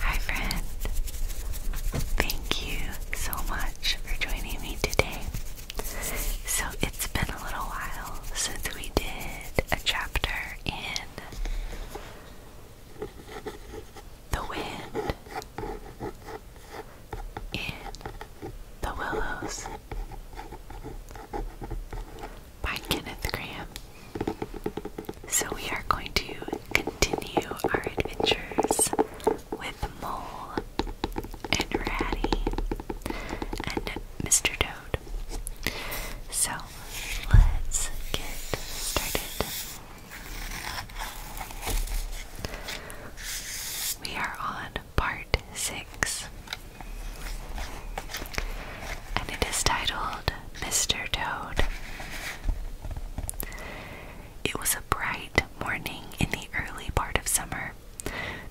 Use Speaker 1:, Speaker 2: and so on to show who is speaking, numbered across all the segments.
Speaker 1: Hi, friend. Thank you so much for joining me today. So, it's been a little while since we did a chapter in The Wind, in The Willows by Kenneth Graham. So we are going to continue our adventures with Mole and Ratty and Mr. Toad. So let's get started. We are on part six and it is titled Mr. Toad. It was a bright morning in the early part of summer.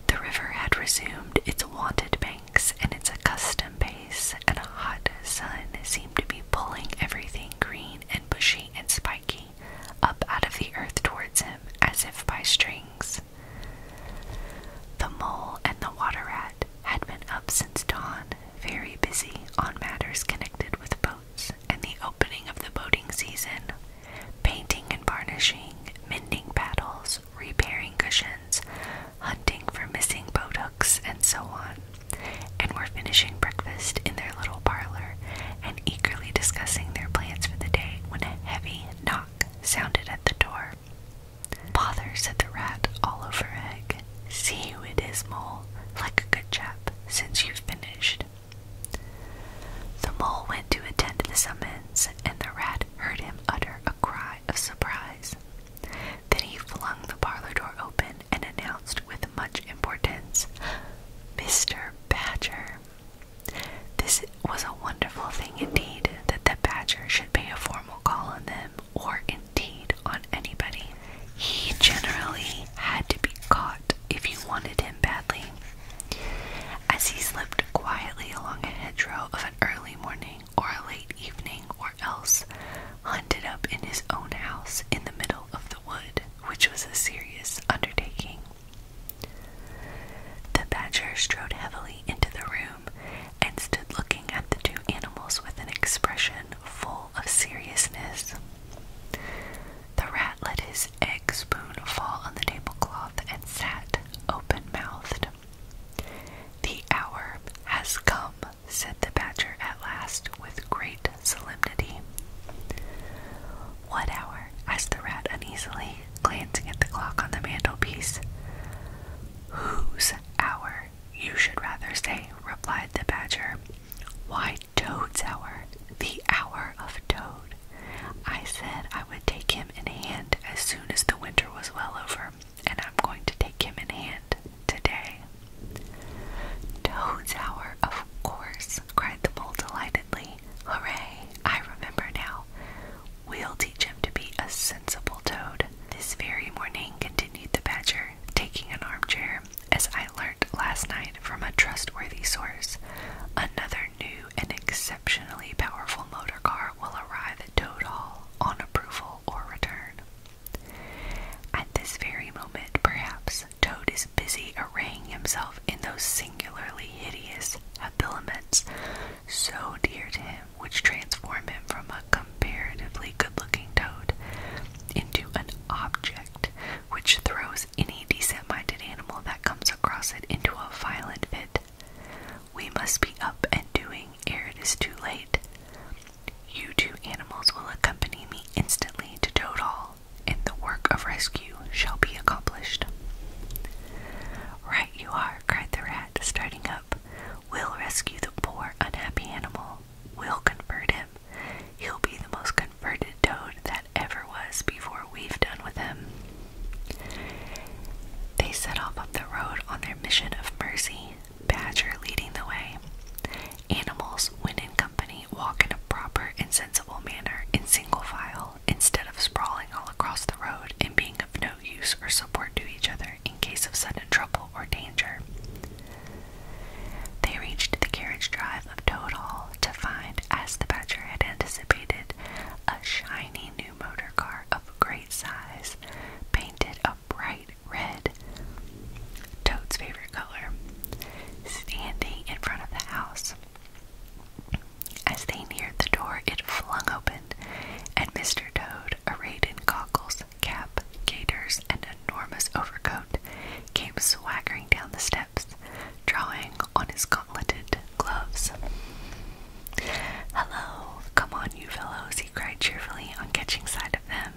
Speaker 1: The river had resumed its wonted banks and its accustomed pace, and a hot sun seemed to be pulling everything green and bushy and spiky up out of the earth towards him as if by strings. The mole and the water rat had been up since dawn very busy on matters connected with boats and the opening of the boating season, painting and varnishing, mending paddles, repairing cushions, hunting for missing boat hooks, and so on. And were finishing breakfast in their little parlor and eagerly discussing their plans for the day when a heavy knock sounded at the door. Bother, said the rat all over egg. See who it is, Mole, like a good chap, since you've finished. The mole went to attend to the summons, and the rat heard him utter a cry of surprise. Then he flung the parlor door open and announced with much importance, Mr. Badger. This was a wonderful thing indeed that the badger should pay a formal call on them or indeed on anybody. He generally had to be caught if you wanted him badly. As he slipped quietly along a hedgerow of an early morning or a late evening, or else hunted up in his own house in the middle of the wood, which was a serious undertaking. The badger strode heavily into the room and stood looking at the two animals with an expression full of seriousness. The rat let his egg spoon fall on the tablecloth and sat open mouthed. The hour has come, said the badger at last with great solemnity. What hour? asked the rat uneasily, glancing at the clock on the mantelpiece. Whose hour? you should rather say, replied the badger. Why, Toad's hour, the hour of Toad. I said I would take him in hand as soon as the winter was well over, and I'm going to take him in hand today. Toad's hour, of course, cried the mole delightedly. "Hurray! I remember now. We'll teach him to be a sensible toad. This very morning, continued the badger, taking an armchair, as I learnt last night from a trustworthy source. Another new and exceptionally powerful motor car will arrive at Toad Hall on approval or return. At this very moment, perhaps, Toad is busy arraying himself in those singularly hideous habiliments so dear to him, which transform him from a comparatively good-looking toad into an object which throws any decent-minded animal that comes across it into a violent fit. We must be up and doing ere it is too late. You two animals will accompany me instantly to Toad Hall, and the work of rescue shall be accomplished. Right you are, cried the rat, starting up. We'll rescue the poor, unhappy animal. We'll convert him. He'll be the most converted toad that ever was before we've done with him. They set off up the road on their mission of mercy, Badger leading the way. Animals, when in company, walk in a proper and sensible manner in single file instead of sprawling all across the road and being of no use or support to each other in case of sudden trouble or danger. They reached the carriage drive of Toad Hall to find, as the Badger had anticipated, a shiny new motor car of great size, painted a bright red, Toad's favorite color, standing in front of the house. As they neared the door, it flung open, and Mr. Toad, arrayed in goggles cap, gaiters, and enormous overcoat, came swaggering down the steps, drawing on his gauntleted gloves. Hello, come on, you fellows, he cried cheerfully on catching sight of them.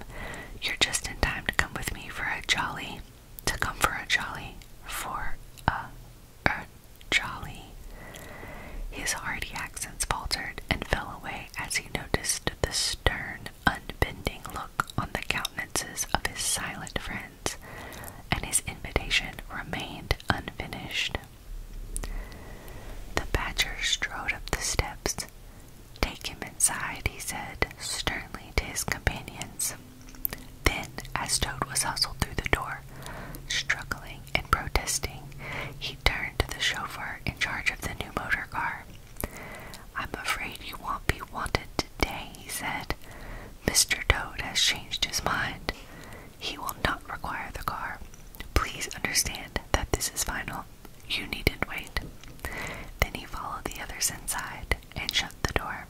Speaker 1: You're just in time to come with me for a jolly. To come for a jolly. For a. Er, jolly. His hearty accents faltered and fell away as he noticed the stern, unbending look on the countenances of his silent friends, and his invitation remained unfinished. The badger strode up the steps. Take him inside, he said sternly to his companions. Then, as Toad was hustled through the door, struggling and protesting, he turned to the chauffeur in charge of the new motor car. I'm afraid you won't be wanted today, he said. Mr. Toad has changed his mind. He will not require the car. Please understand that this is final. You needn't wait. Then he followed the others inside and shut the door.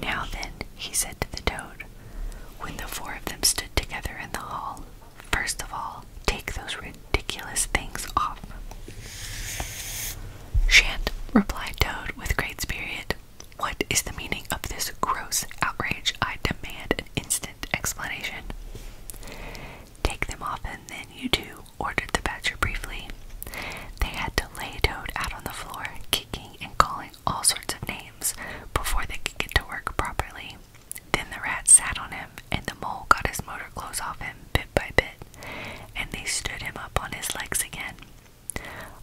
Speaker 1: Now then, he said to the toad, when the four of them stood together in the hall, First of all, take those ridiculous things off. Shant, replied Toad with great spirit. What is the meaning of this gross outrage? I demand an instant explanation. Take them off and then you do, ordered the badger briefly. They had to lay Toad out on the floor, kicking and calling all sorts of names, before they could get to work properly. Then the rat sat on him, and the mole got his motor clothes off him bit by bit, and they stood him up on his legs again.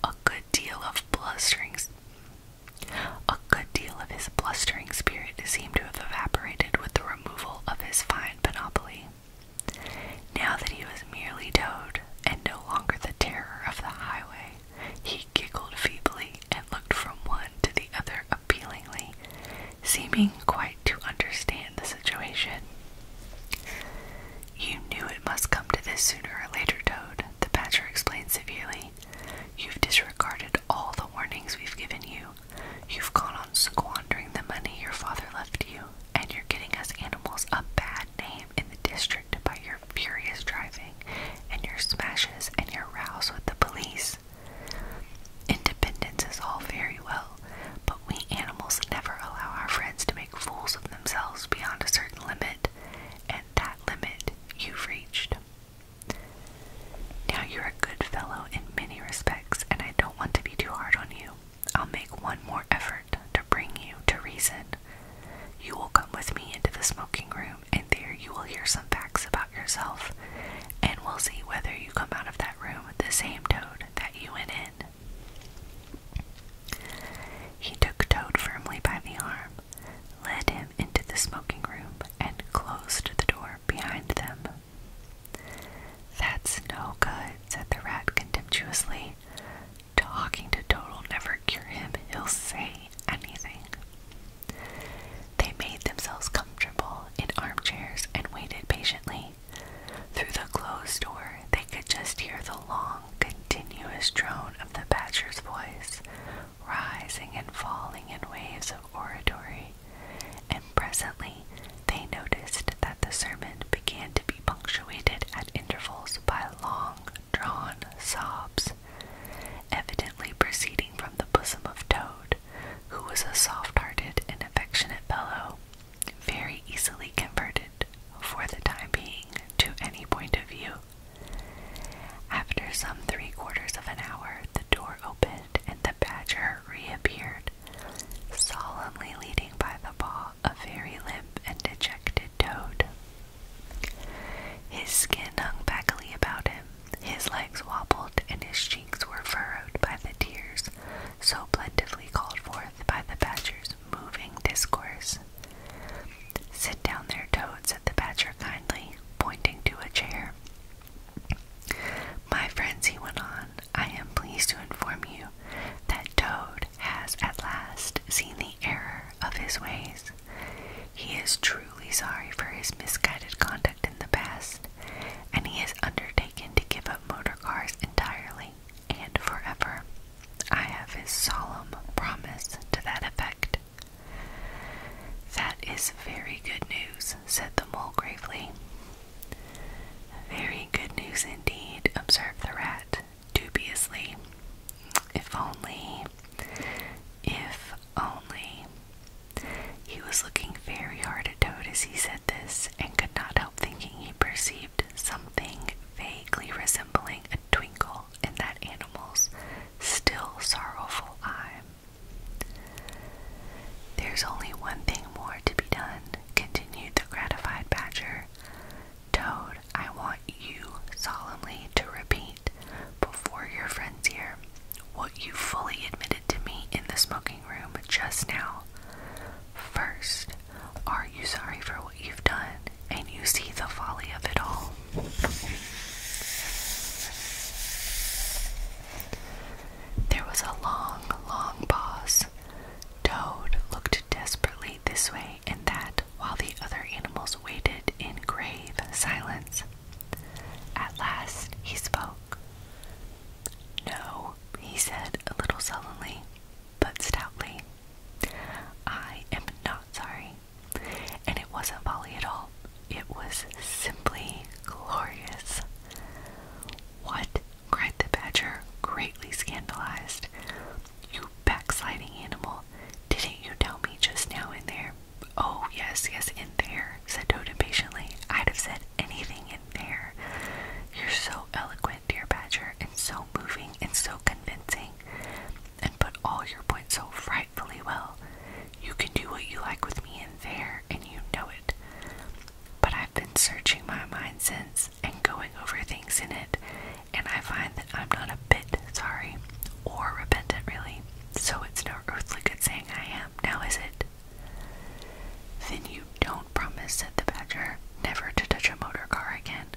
Speaker 1: A good deal of blusterings. A good deal of his blustering spirit seemed to have evaporated with the removal of his fine panoply. Now that he was merely Toad, and no longer the terror of the highway, he giggled feebly and looked from one to the other appealingly, seeming quite to understand the situation. You knew it must come to this sooner or later, Toad, the Badger explained severely. You've disregarded all the warnings we've given you. You've gone on squandering the money your father left you, and you're getting us animals a bad name in the district by your furious driving and your smashes and your rows with the police. Independence is all very well, but we animals never allow our friends to make fools of themselves beyond a certain limit, and that limit you've reached. Now you're a good fellow in many respects, and I don't want to be too hard on you. I'll make one more effort to bring you to reason. You will come with me into the smoking room and there you will hear some facts about yourself, and we'll see whether you come out of that room the same Toad that you went in. He took Toad firmly by the arm, led him into the smoking room, and closed the door behind them. That's no good, said the rat contemptuously. Talking to Toad'll never cure him. He'll say anything. They made themselves comfortable in armchairs and waited patiently. Through the closed door, they could just hear the long, continuous drone of the badger's voice, rising and falling in waves of oratory. And presently, they noticed that the sermon began to be punctuated at intervals by long drawn sobs evidently proceeding from the bosom of Toad, who was a soft-hearted and affectionate fellow, very easily converted, for the time being, to any point of view. After some three quarters of an hour, the door opened and the badger reappeared, solemnly leading by the paw a very limp and dejected toad. His skin hung backily about him, his legs wobbled and his cheeks were furrowed by the tears so plentifully called forth by the badger's moving discourse. Sit down there, Toad, said the badger kindly, pointing to a chair. My friends, he went on, I am pleased to inform you that Toad has at last seen the error of his ways. He is truly sorry for his misguided conduct in the past, and he has undertaken to give up motor cars entirely and forever. I have his solemn promise to that effect. That is very good news, said the mole gravely. Very good news indeed, observed the rat dubiously. If only, if only, he was looking very hard at Toad as he said this, and could not help thinking he perceived something vaguely resembling a twinkle in that animal's still sorrowful eye. There's only one thing more to be done, continued the gratified badger. Toad, I want you solemnly to repeat before your friends here what you fully admitted to me in the smoking room just now. First, are you sorry for what you've done and you see the folly of it all? There was a long, long pause. Toad looked desperately this way and that while the other animals waited in grave silence. At last he spoke. No, he said a little sullenly, but stoutly. I am not sorry. And it wasn't folly at all. It was simply glorious. What? cried the badger, greatly scandalized. You backsliding animal, didn't you tell me just now and there Oh, yes, yes, in there, said Toad impatiently. I'd have said anything in there. You're so eloquent, dear Badger, and so moving and so convincing, and put all your points so frightfully well. You can do what you like with me in there, and you know it. But I've been searching my mind since and going over things in it, and I find that I'm not a bit sorry or repentant, really. So it's no earthly good saying I am, now is it? Then you don't promise, said the badger, never to touch a motor car again.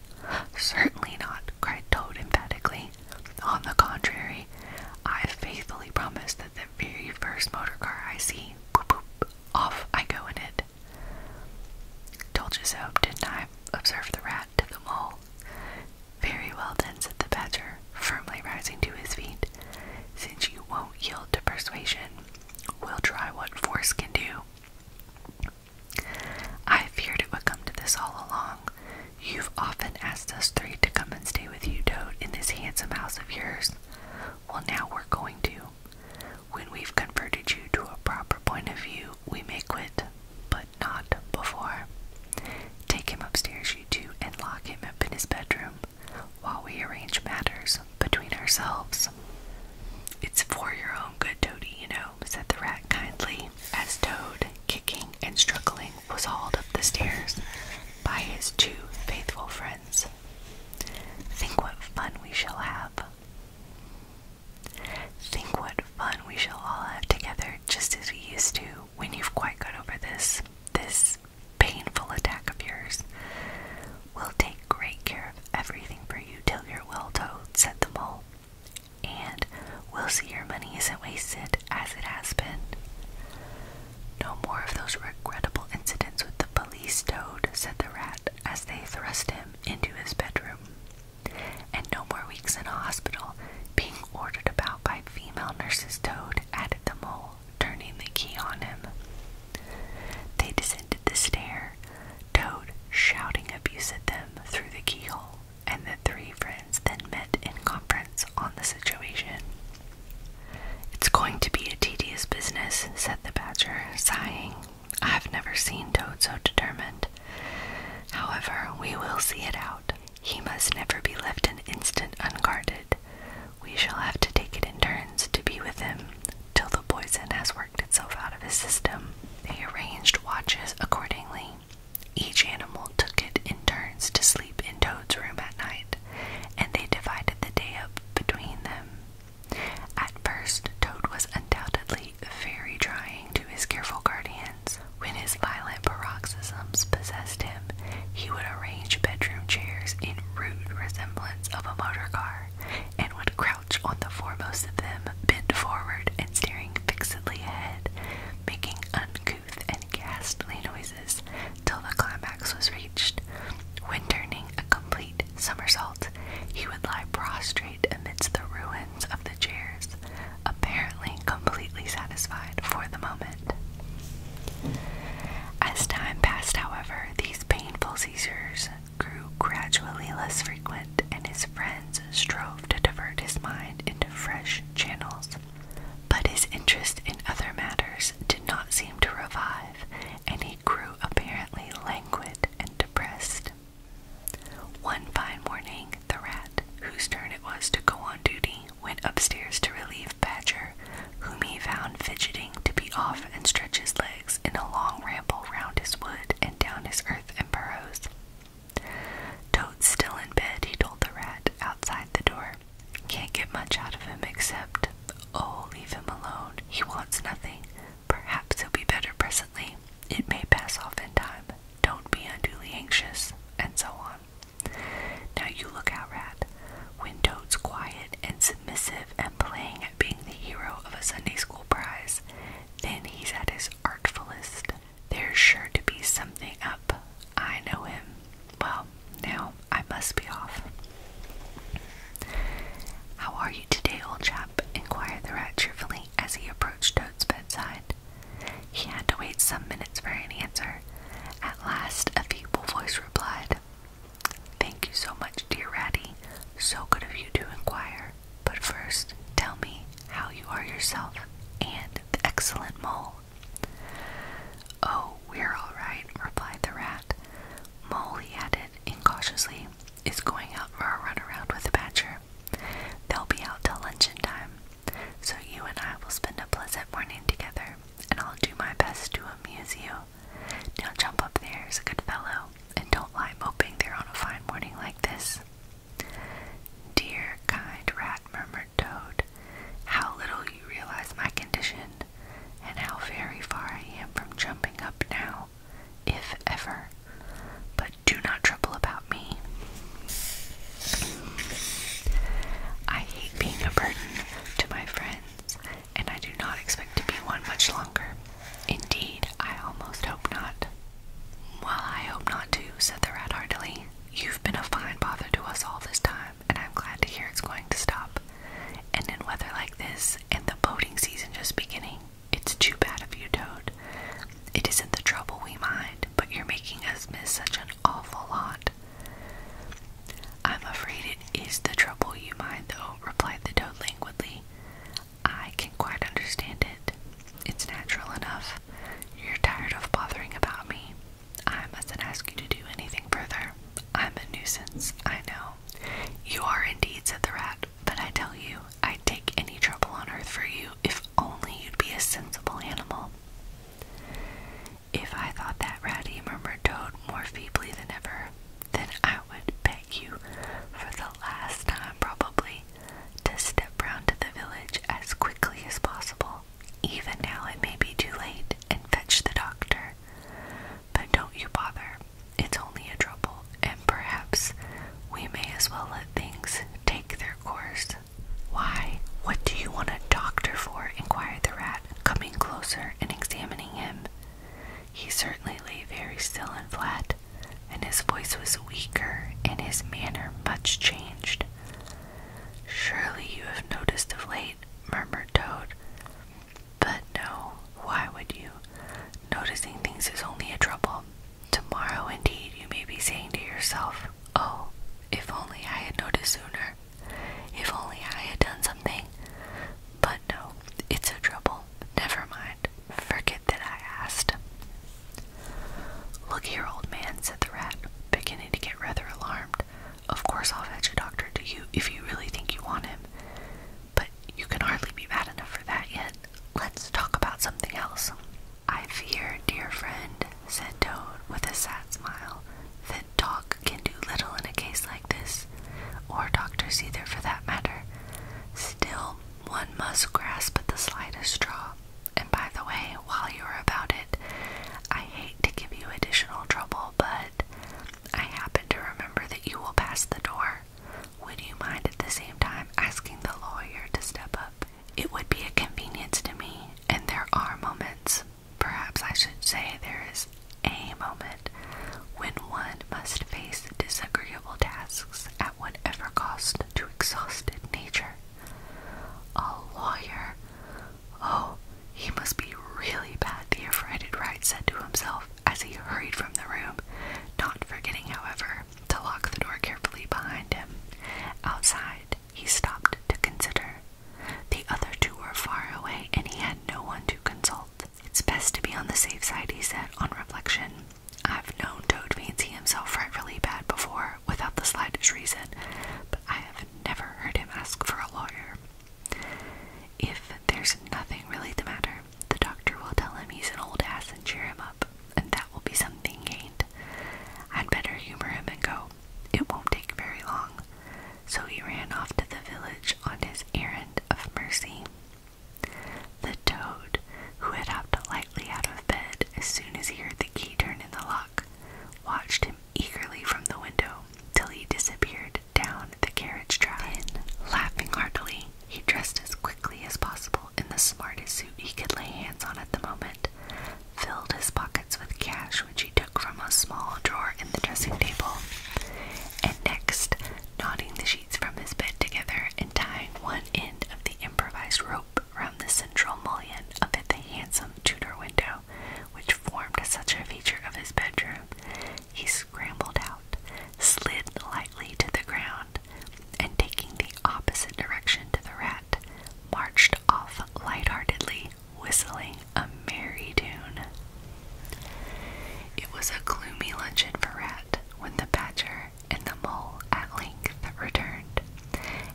Speaker 1: Certainly not, cried Toad emphatically. On the contrary, I faithfully promise that the very first motor car I see, boop, boop, off I go in it. Told you so, didn't I? observed the rat to the mole. Very well then, said the badger, firmly rising to his feet. Since you won't yield to persuasion, we'll try what force can do. I feared it would come to this all along. You've often asked us three to come and stay with you, Toad, in this handsome house of yours. Well, now we're going to. When we've converted you to a proper point of view, we may quit, but not before. Take him upstairs, you two, and lock him up in his bedroom while we arrange matters between ourselves. It's for your own good, Toady, you know, said the rat kindly, as Toad, kicking and struggling, was hauled up the stairs by his two faithful friends. Think what fun we shall have. Think what fun we shall all have together, just as we used to, when you've quite got over this this painful attack of yours, we'll take great care of everything for you till you're well towed, said the mole, and we'll see your money isn't wasted as it has been. No more of those regrettable incidents with the police toad, said the rat as they thrust him into his bedroom. And no more weeks in hospital being ordered about by female nurse's toad added the mole, turning the key on him. They descended the stair, Toad shouting abuse at them through the keyhole, and the three friends then met in conference on the situation. It's going to be a tedious business, said the badger, sighing. I have never seen Toad so determined. However, we will see it out. He must never be left an instant unguarded. We shall have to take it in turns to be with him till the poison has worked itself out of his system. They arranged watches accordingly. Each animal took it in turns to sleep in Toad's room at night, and they divided the day up between them. At first, Toad was undoubtedly very trying to his careful guardian, when his violent paroxysms possessed him, he would arrange bedroom chairs in rude resemblance of a motor car, and would crouch on the foremost of them, bent forward and staring fixedly ahead, making uncouth and ghastly noises till the climax was reached. When turning a complete somersault, he would lie prostrate amidst the ruins of the chairs, apparently completely satisfied for the moment. As time passed, however, these painful seizures grew gradually less frequent, and his friends strove to divert his mind into fresh channels. But his interest in other matters did not seem to revive, and he grew apparently languid and depressed. One fine morning, the rat, whose turn it was to go on duty, went upstairs to relieve Badger, whom he found fidgeting to be off and stretch his legs in a long ramble round his wood and down his earth and burrows. Toad's still in bed, he told the rat outside the door. Can't get much out of him except, oh, leave him alone. He wants nothing. Perhaps he'll be better presently. It may pass off in time. Don't be unduly anxious, and so on. Now you look out, Rat. When Toad's quiet and submissive and playing at being the hero of a Sunday school prize, then he's at his artfullest. There's sure to be something up. I know him. Well, now I must be off. How are you today, old chap? inquired the rat cheerfully as he approached Toad's bedside. He had to wait some minutes for an answer. At last, a feeble voice replied, Thank you so much, dear Ratty. So good of you to inquire. But first, tell me how you are yourself and the excellent mole. Oh, we're all right, replied the rat. Mole, he added incautiously, is going out for a run around with the badger. They'll be out till luncheon time. So you and I will spend a pleasant morning together, and I'll do my best to amuse you. Now jump up there's a good fellow, and don't lie moping there on a fine morning like this. Dear kind rat, murmured Toad, how little you realize my condition, and how very far I am from jumping up now, if ever. But do not trouble about me. I hate being a burden to my friends, and I do not expect to be one much longer. Indeed, I almost hope not. Well, I hope not too, said the rat heartily. You've been a fine bother to us all this time, and I'm glad to hear it's going to stop. And in weather like this, and the boating season just beginning, it's too bad of you, Toad. It isn't the trouble we mind, but you're making us miss such an awful lot. I'm afraid it is the trouble you mind, though, replied the toad languidly. I can quite understand it. It's natural enough. You're tired of bothering about me. I mustn't ask you to do anything further. I'm a nuisance, I know. You are indeed, said the rat, but I tell you, I'd take any trouble on earth for you if only you'd be a sensible animal. If I thought that ratty, murmured Toad more feebly than ever, then I would beg you, for the last time probably, to step round to the village as quickly as possible. Even now it may be too late, and fetch the doctor. But don't you bother, it's only a trouble, and perhaps we may as well let things take their course. Why, what do you want a doctor for? inquired the rat, coming closer and examining him. He certainly lay very still and flat, and his voice was weaker and his manner much changed. Surely you have noticed of late, murmured Toad. But no, why would you? Noticing things is only a trouble. Tomorrow, indeed, you may be saying to yourself, Oh, if only I had noticed sooner. If only I had done something. But no, it's a trouble. Never mind. Forget that I asked. Look here, old man, said the rat, beginning to get rather alarmed. Of course I'll fetch a doctor to you if you really think you want him. But you can hardly be bad enough for that yet. Let's talk about something else. I fear, dear friend, said Toad with a sad smile, that talk can do little in a case like this, or doctors either for that matter. Still, one must grasp at the slightest straw. And by the way, while you are about it, I hate to give you additional trouble, but I happen to remember that you will pass the door. Would you mind at the same time asking the lawyer to step up it would be a convenience to me, and there are moments, perhaps I should say there is a moment, when one must face disagreeable tasks at whatever cost to exhausted nature. A lawyer. Oh, he must be really bad, the affrighted Wright said to himself as he hurried from the room, not forgetting, however, to lock the door carefully behind him. Outside, he stopped to consider. The other two were far away, and he had no one to consult. It's best to be on the safe side, he said on reflection. I've known Toad Fancy himself frightfully bad before, without the slightest reason, but I have never heard him ask for a lawyer. If there's nothing really the matter, the doctor will tell him he's an old ass and cheer him up, and that will be something gained. I'd better humor him and go. It won't take very long. So he ran off to the village on his errand of mercy. The toad, who had hopped lightly out of bed as soon as he heard the key turn in the lock, watched him eagerly from the window till he disappeared down the carriage drive. Then, laughing heartily, he dressed as quickly as possible in the smartest suit he could lay hands on at the moment, filled his pockets with cash which he took from a small drawer in the dressing table, and next, knotting the sheets from his bed together and tying one end of the improvised rope round the central mullion of the handsome Tudor window which formed such a feature of his bedroom, he scrambled out, slid lightly to the ground, and taking the opposite direction to the marched off lightheartedly, whistling a merry tune. It was a gloomy luncheon for Rat when the badger and the mole at length returned,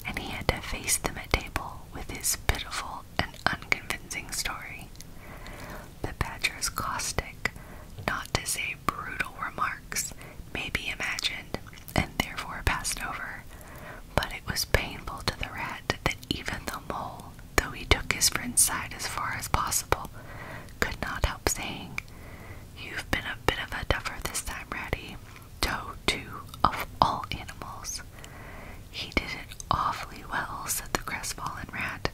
Speaker 1: and he had to face them at table with his pitiful and unconvincing story. The badger's caustic, not to say brutal remarks may be imagined and therefore passed over. But it was painful to the rat that even the mole, though he took his friend's side as far as possible, could not help saying, You've been a bit of a duffer this time, Ratty. Toe, too, of all animals. He did it awfully well, said the crestfallen rat.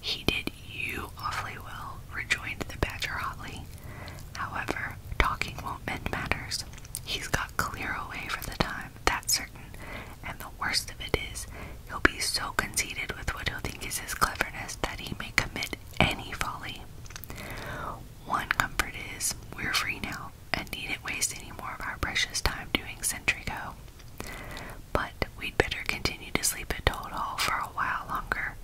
Speaker 1: He did you awfully well, rejoined the badger hotly. However, talking won't mend matters. He's got clear away for the time, that's certain, and the worst of it is, he'll be so conceited with what he'll think is his cleverness that he may commit any folly. One comfort is, we're free now and needn't waste any more of our precious time doing sentry go. But we'd better continue to sleep at Toad Hall for a while longer.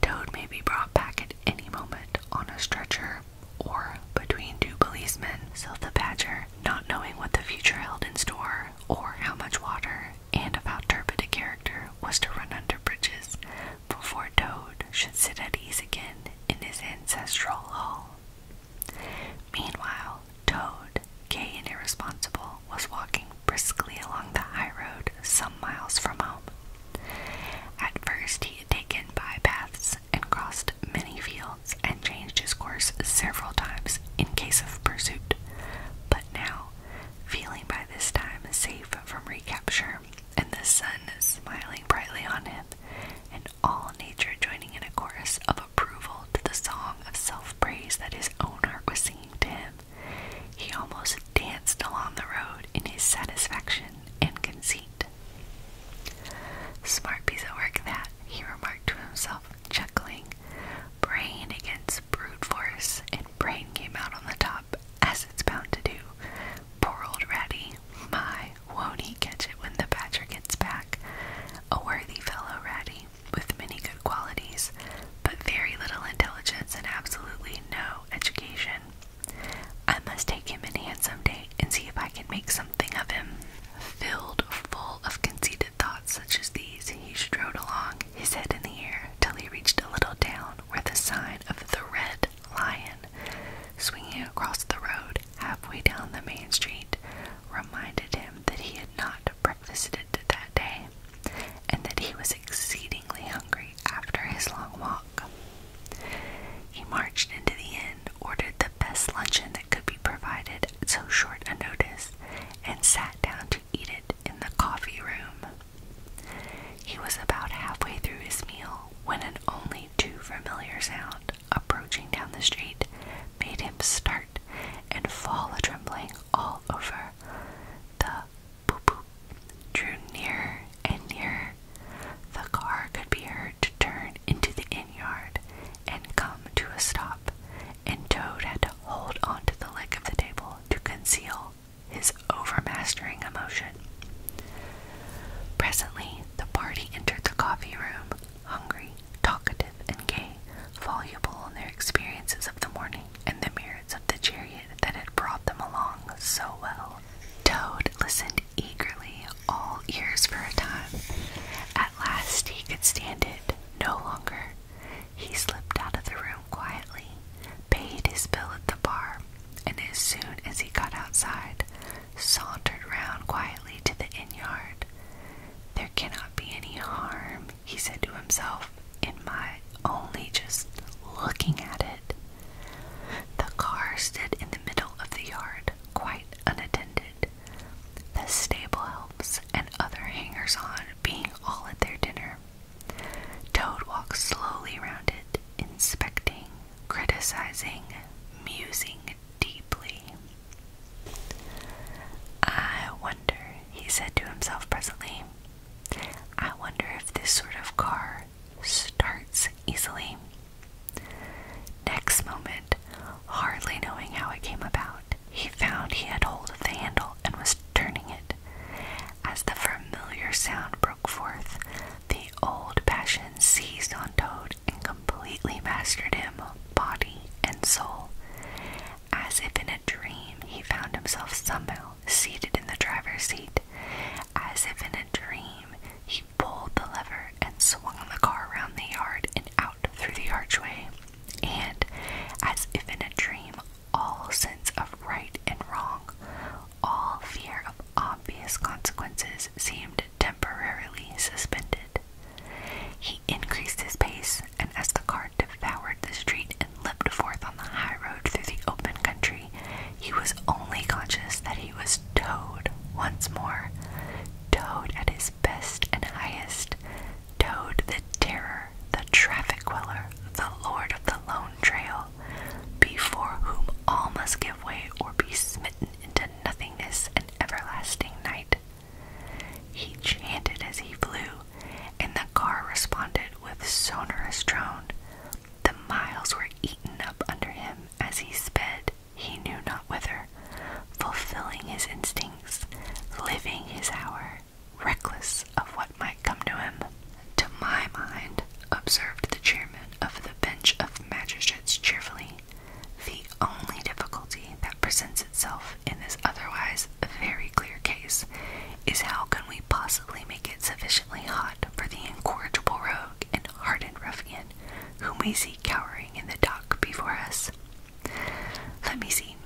Speaker 1: Toad may be brought back at any moment on a stretcher or between two policemen. So the badger, not knowing what the future held in store or how much water and of how turbid a character was to run under bridges before Toad should sit at ease again in his ancestral hall. Meanwhile, Toad, gay and irresponsible, was walking briskly along the high road some miles from home. At first, he Taken by paths and crossed many fields and changed his course several times in case of pursuit. But now, feeling by this time safe from recapture, and the sun smiling brightly on him, and all nature joining in a chorus of approval to the song of self praise that his own heart was singing to him, he almost danced along the road in his satisfaction and conceit. Smart piece of work that, he remarked to himself, chuckling. Brain against brute force, and brain came out on the top, as it's bound to do. Poor old Ratty. My, won't he catch it when the badger gets back? A worthy fellow, Ratty, with many good qualities, but very little intelligence and absolutely no education. I must take him in hand some day and see if I can make something of him. Filled full of conceited thoughts such as these, he strode along, his head in the air, till he reached a little town where the sign of the Red Lion, swinging across the road halfway down the main street, reminded him that he had not breakfasted that day, and that he was exceedingly hungry after his long walk. He marched into the inn, ordered the best luncheon that could be provided at so short a notice, and sat down to eat it in the coffee room. He was about halfway through his meal when an only too familiar sound approaching down the street made him start and fall a trembling all over. The boop, boop, drew nearer and nearer. The car could be heard to turn into the inn yard and come to a stop, and Toad had to hold on to the leg of the table to conceal his overmastering emotion. Presently, the party entered the coffee room, hungry, talkative, and gay, voluble in their experiences of the morning and the mirror of the chariot that had brought them along so well. Toad listened eagerly, all ears for a time. At last he could stand it no longer. He slipped out of the room quietly, paid his bill at the bar, and as soon as he got outside, sauntered round quietly to the inn yard. There cannot be any harm, he said to himself, in my only just looking at it. The car stood in the middle of the yard, quite unattended, the stable helps and other hangers on being all at their dinner. Toad walked slowly round it, inspecting, criticizing, musing deeply. I wonder, he said to himself presently, I wonder if this sort of car starts easily. Next moment, hardly knowing how it came about, he found he had hold of the handle and was turning it. As the familiar sound broke forth, the old passion seized on Toad and completely mastered him, body and soul. As if in a dream, he found himself somehow seated in the driver's seat. As if in a dream, he pulled the lever and swung the car around the yard and out through the archway. And, as if in a dream, all sense of right and wrong, all fear of obvious consequences seemed temporarily suspended. He increased his pace, and as the car devoured the street and leaped forth on the high road through the open country, he was only conscious that he was toed once more, toed at his best and highest, towed the terror, the traffic queller, the lord of the lone trail, before whom all must give way or be smitten into nothingness and everlasting night. He chanted as he flew, and the car responded with sonorous drone, the miles were eaten up under him as he sped, he knew not whither, fulfilling his instincts, living his hour, reckless of what might come to him. To my mind, observed the chairman of the bench of magistrates cheerfully, the only difficulty that presents itself in this otherwise very clear case is how can we possibly make it sufficiently hot for the incorrigible rogue and hardened ruffian whom we see cowering in the dock before us? Let me see.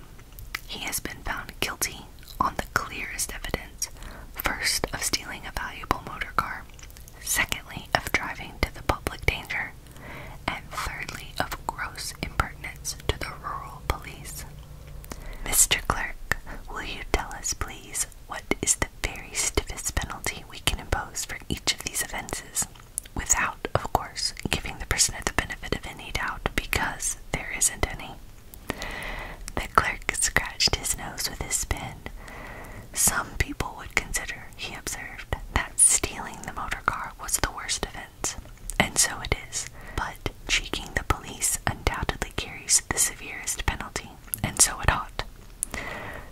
Speaker 1: He has been found guilty on the clearest evidence first, of stealing a valuable motor car, secondly, of driving to the public danger, and thirdly, of gross impertinence to the rural police. Mr. Clerk, will you tell us, please, what is the very stiffest penalty we can impose for each of these offenses? Without, of course, giving the prisoner the benefit of any doubt because there isn't any. The clerk scratched his nose with his pen. Some people would consider, he observed, that stealing the motor car was the worst offense, and so it is, but cheeking the police undoubtedly carries the severest penalty and so it ought.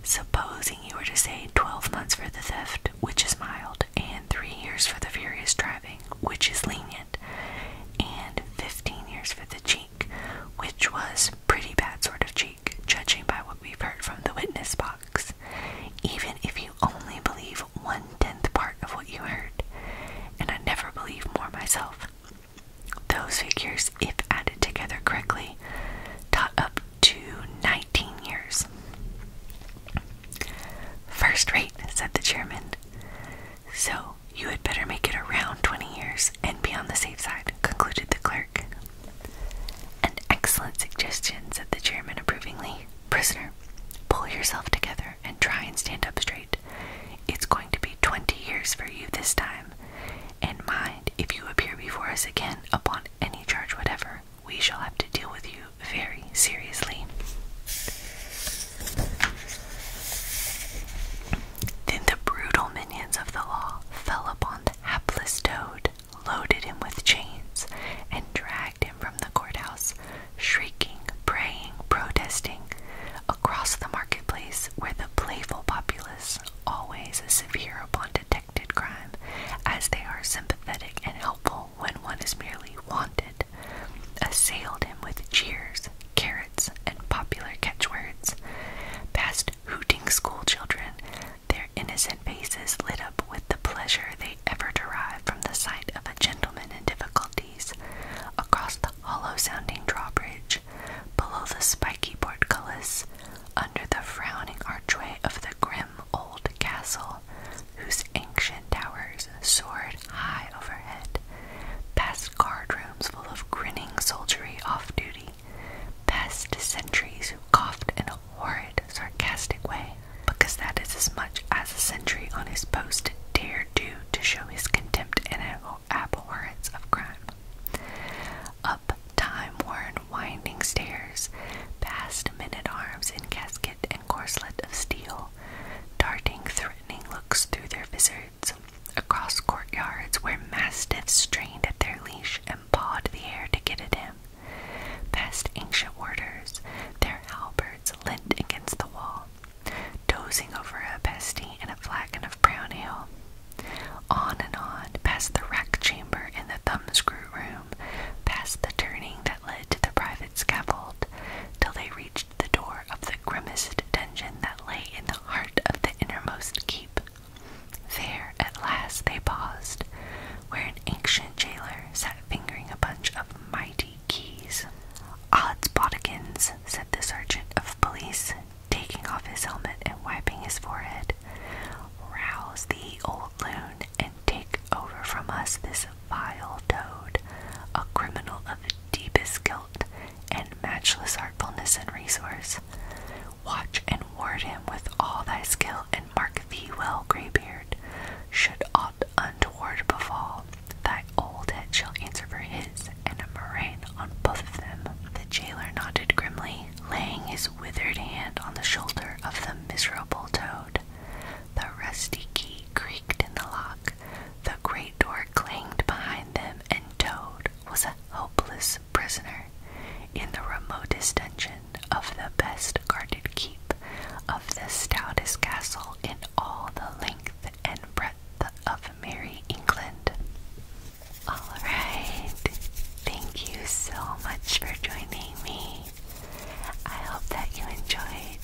Speaker 1: Supposing you were to say twelve months for the theft, which is mild, and three years for the furious driving, which is lenient, and fifteen years for the cheek, which was pretty bad sort of cheek, judging by what we've heard from the witness box, even if you only believe one tenth part of what you heard, and I never believe more myself. Those figures, if added together correctly, tot up to 19 years. First rate, said the chairman. So you had better make it around 20 years and be on the safe side, concluded the clerk. An excellent suggestion, said the chairman approvingly. Prisoner, pull yourself together and try and stand up straight. It's going to be 20 years for you this time. And mind, if you appear before us again upon any charge whatever, we shall have to deal with you very seriously. Then the brutal minions of the law fell upon the hapless toad, loaded him with chains, and dragged him from the courthouse, shrieking, praying, protesting, across the marketplace where the playful populace always is severe upon detected crime, as they are sympathetic and helpful when one is merely wanted, assailed him with cheers, carrots, and popular catchwords, past hooting schoolchildren, their innocent faces lit up with the pleasure they ever derive from the sight of a gentleman in difficulty across the hollow sounding drawbridge, below the spiky portcullis, under the frowning archway of the grim old castle, whose ancient towers soared high overhead, past guard rooms full of grinning soldiery off duty, past sentries who coughed in a horrid, sarcastic way, because that is as much as a sentry on his post dare do to show his contempt in a abhorrence of crime. Up time-worn winding stairs, past men-at-arms in casket and corselet of steel, darting threatening looks through their visors, across courtyards where mastiffs strained at their leash and pawed the air to get at him, past ancient warders, their halberds leant against the wall, dozing over a pesty and a flagon of brown ale. On and on, past the rack chamber and the thumbscrew room, past the turning that led to the private scaffold, till they reached the door of the grimmest dungeon that lay in the heart of the innermost keep. There, at last, they paused, where an ancient jailer sat fingering a bunch of mighty keys. Odds said the sergeant of police, taking off his helmet and wiping his forehead. Rouse the old loon, and take over from us this vile toad, a criminal of deepest guilt and matchless artfulness and resource. Watch and ward him with all thy skill, and mark thee well, greybeard, should aught untoward befall. Thy old head shall answer for his, and a murrain on both of them. The jailer nodded grimly, laying his withered hand on the shoulder of the miserable toad. The rusty key creaked in the lock, the great door clanged behind them, and Toad was a hopeless prisoner in the remotest dungeon of the best guarded keep of the stoutest castle in all the length and breadth of Mary England. Alright, thank you so much for joining me. I hope that you enjoyed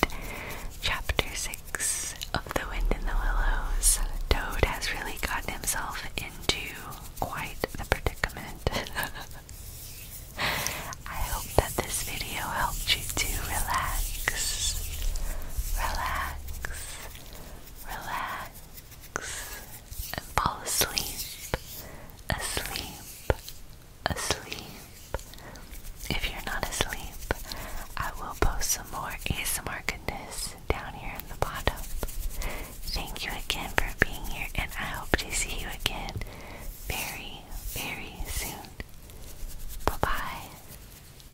Speaker 1: Chapter 6 of The Wind in the Willows. Toad has really gotten himself into quite a predicament. I hope that this video helped you to relax, relax, relax, and fall asleep, asleep, asleep. If you're not asleep, I will post some more ASMR goodness down here in the bottom. Thank you again for being here, and I hope to see you again very, very soon. Bye bye.